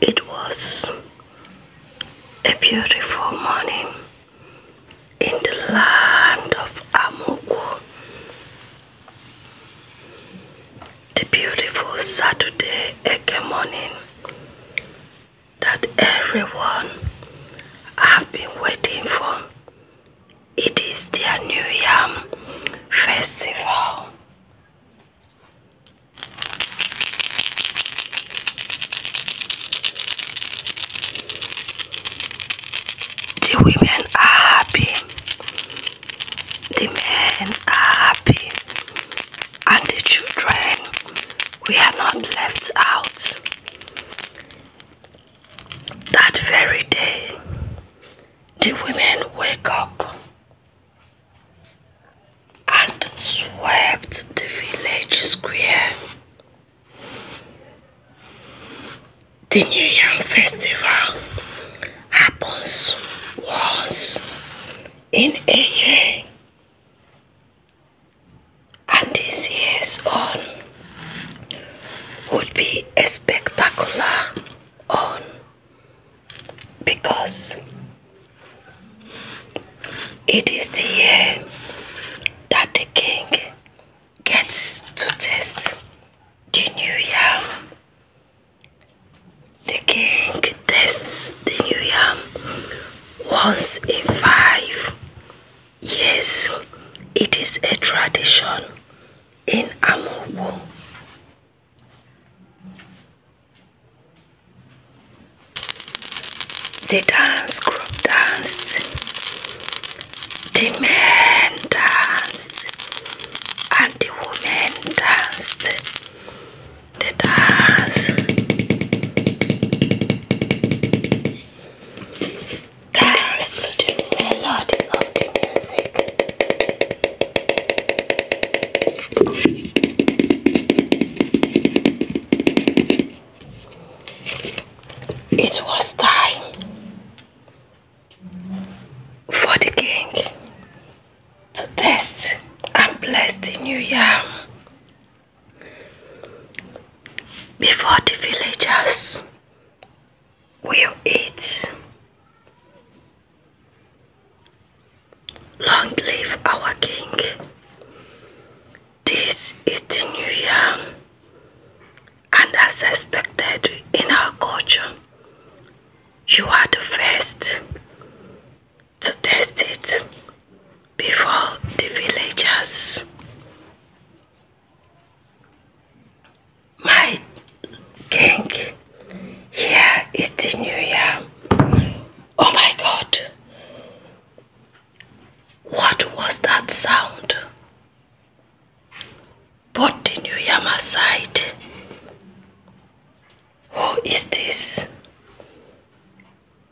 It was a beautiful morning in the land of Amoku. The beautiful Saturday Eke morning that everyone have been waiting for. It is the New Yam festival. The women are happy, the men are happy, and the children, we are not left out. That very day, the women wake up and swept the village square. The New Yam Festival happens once in a year, and this year's on would be spectacular on because it is the year that the king gets to test the new year. The king tests the new year once in five years. It is a tradition in Amuwo the dance group dance, the men dance, and the women dance. The dance, dance to the melody of the music. It was time for the king to test and bless the new year before the villagers will eat. Long live our King. This is the new year, and as expected in our culture, you are the first to test it before the villagers my king, here is the new year oh my god what was that sound put the new year aside who is this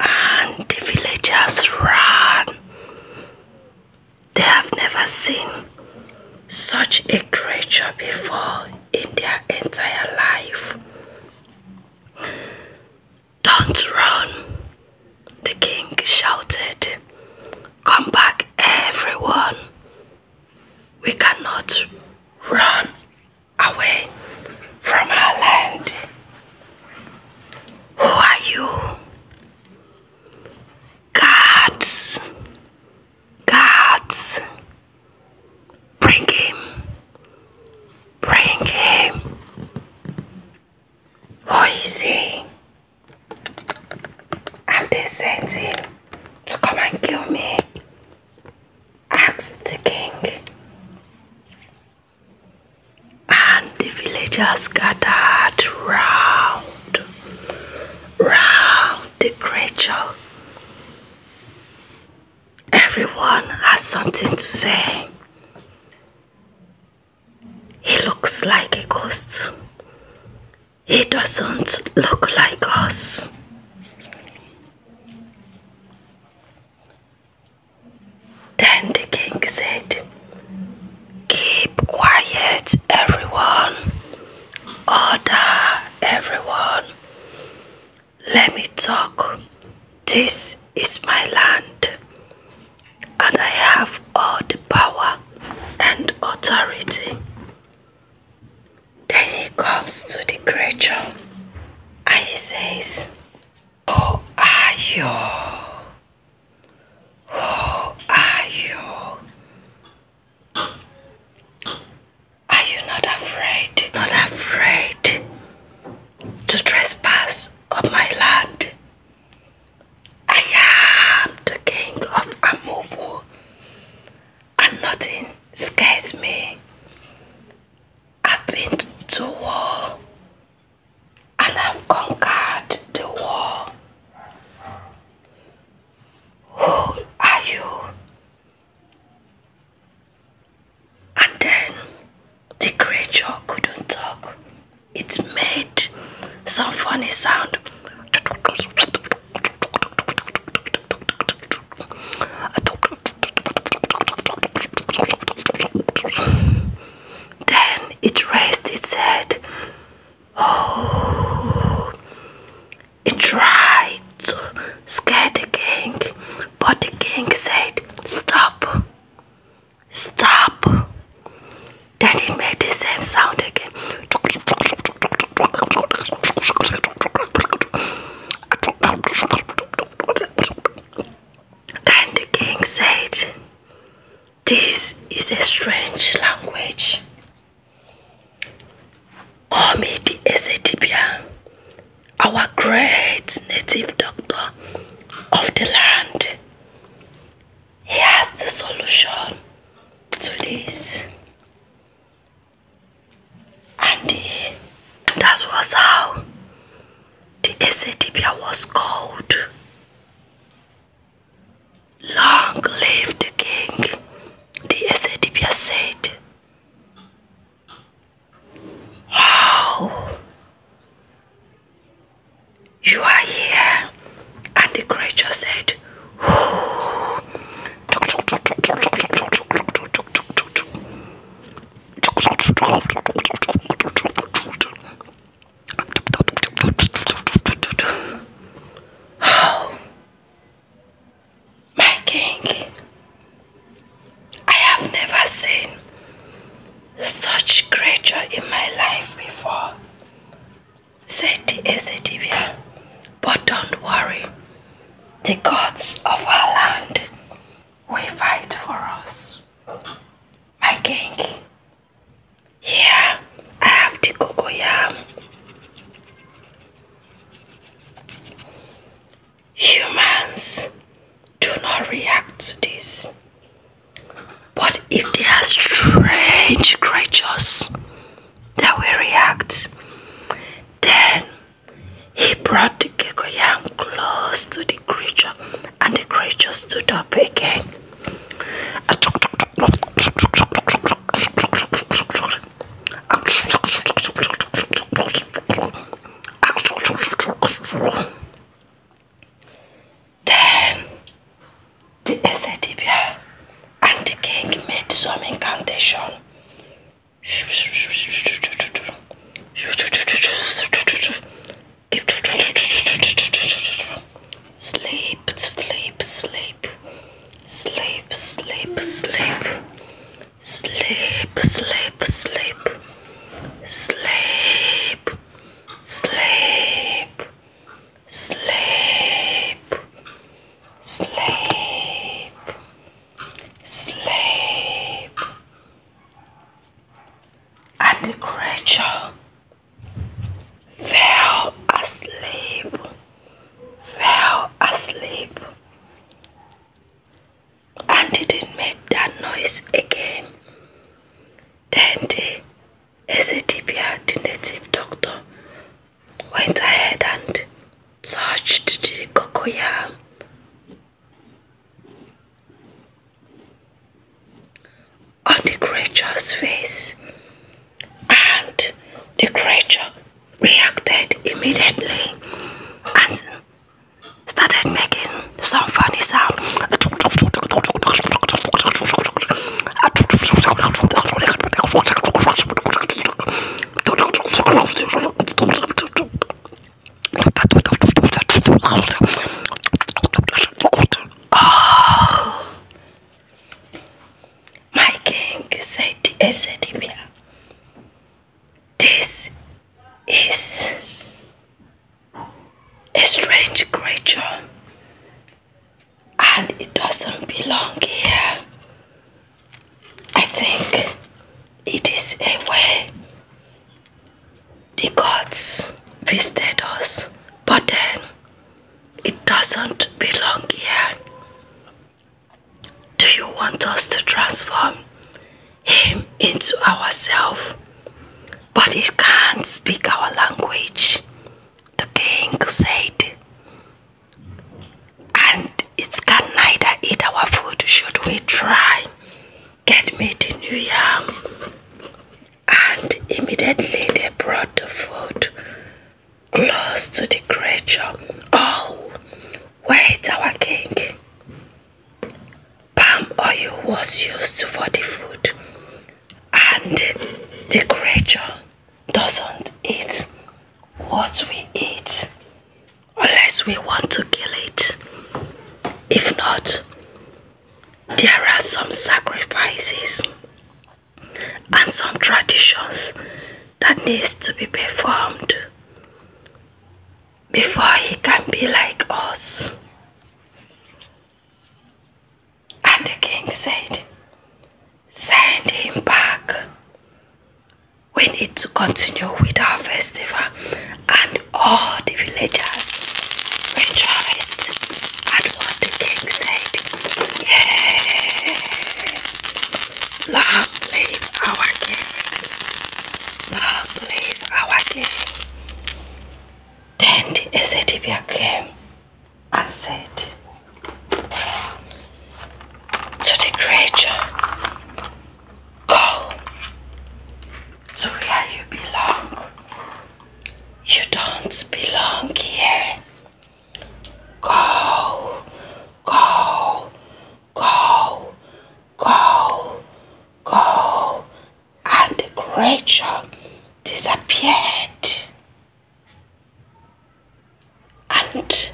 and the villagers ran they have never seen such a creature before in their entire life. Don't run, the king shouted. Come back, everyone. We cannot run away from our land. Who are you? Guards, Gods, bring him, bring him. Who is he? Have they sent him to come and kill me? asked the king. And the villagers gathered round, round the creature Everyone has something to say. He looks like a ghost. He doesn't look like us. Then the king said, Keep quiet, everyone. Order, everyone. Let me talk. This is my land, and I have all the power and authority. Then he comes to the creature and he says, Who are you? Who are you? Are you not afraid? Not afraid to trespass on my land? I am the king of Amobu and nothing scares me. I've been to war and I've conquered the war. Who are you and then the creature couldn't talk. It made some funny sound. Then it raised its head. Oh, he tried to scare the king, but the king said, Stop! Stop! Then he made the same sound again. Then the king said, This is a strange language. Omid Ezedibia, our great native doctor of the land, he has the solution to this. And, the, and that was how the Ezedibia was called. Long live the king, the Ezedibia said. Wow! You are here! And the creature said, How my king, I have never seen such creature in my life before, said the Ezedibia. But don't worry, the gods of our land will fight for us. My king, here I have the cocoyam. Humans do not react to this. But if they are strange creatures that will react, then he brought the Gekoyam close to the creature and the creature stood up again. Then the Esedibia and the king made some incantation. Sleep, sleep, sleep, sleep, sleep, sleep sleep, sleep, sleep, sleep, sleep, sleep, sleep, sleep, and the creature fell asleep fell asleep and didn't make that noise again. Then the SADPR, the native doctor, went ahead and touched the cocoyam. on the creature's face and the creature reacted immediately and started making some funny sound. Oh, my king said, Esedivia, this is a strange creature and it doesn't belong here. I think it is a way the gods visited us, but then it doesn't belong here. Do you want us to transform him into ourselves? But he can't speak our language, the king said. And it can neither eat our food, should we try? Get me the new yam. And immediately they brought the food close to the creature. Oh, wait, our king. Palm oil was used for the food, and the creature doesn't eat what we eat unless we want to kill it. If not, there are some sacrifices and some traditions that needs to be performed before he can be like us. And the king said, Send him back. We need to continue with our festival. And all the villagers rejoiced at what the king said. Lovely awake. Lovely awake. Dandy is it if you came and said to the creature, Go to where you belong. You don't belong here. Go, go, Go, go, go. And the creature disappeared. And the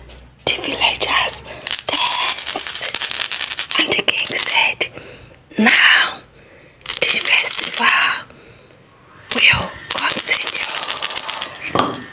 villagers danced. And the king said, Now the festival will continue.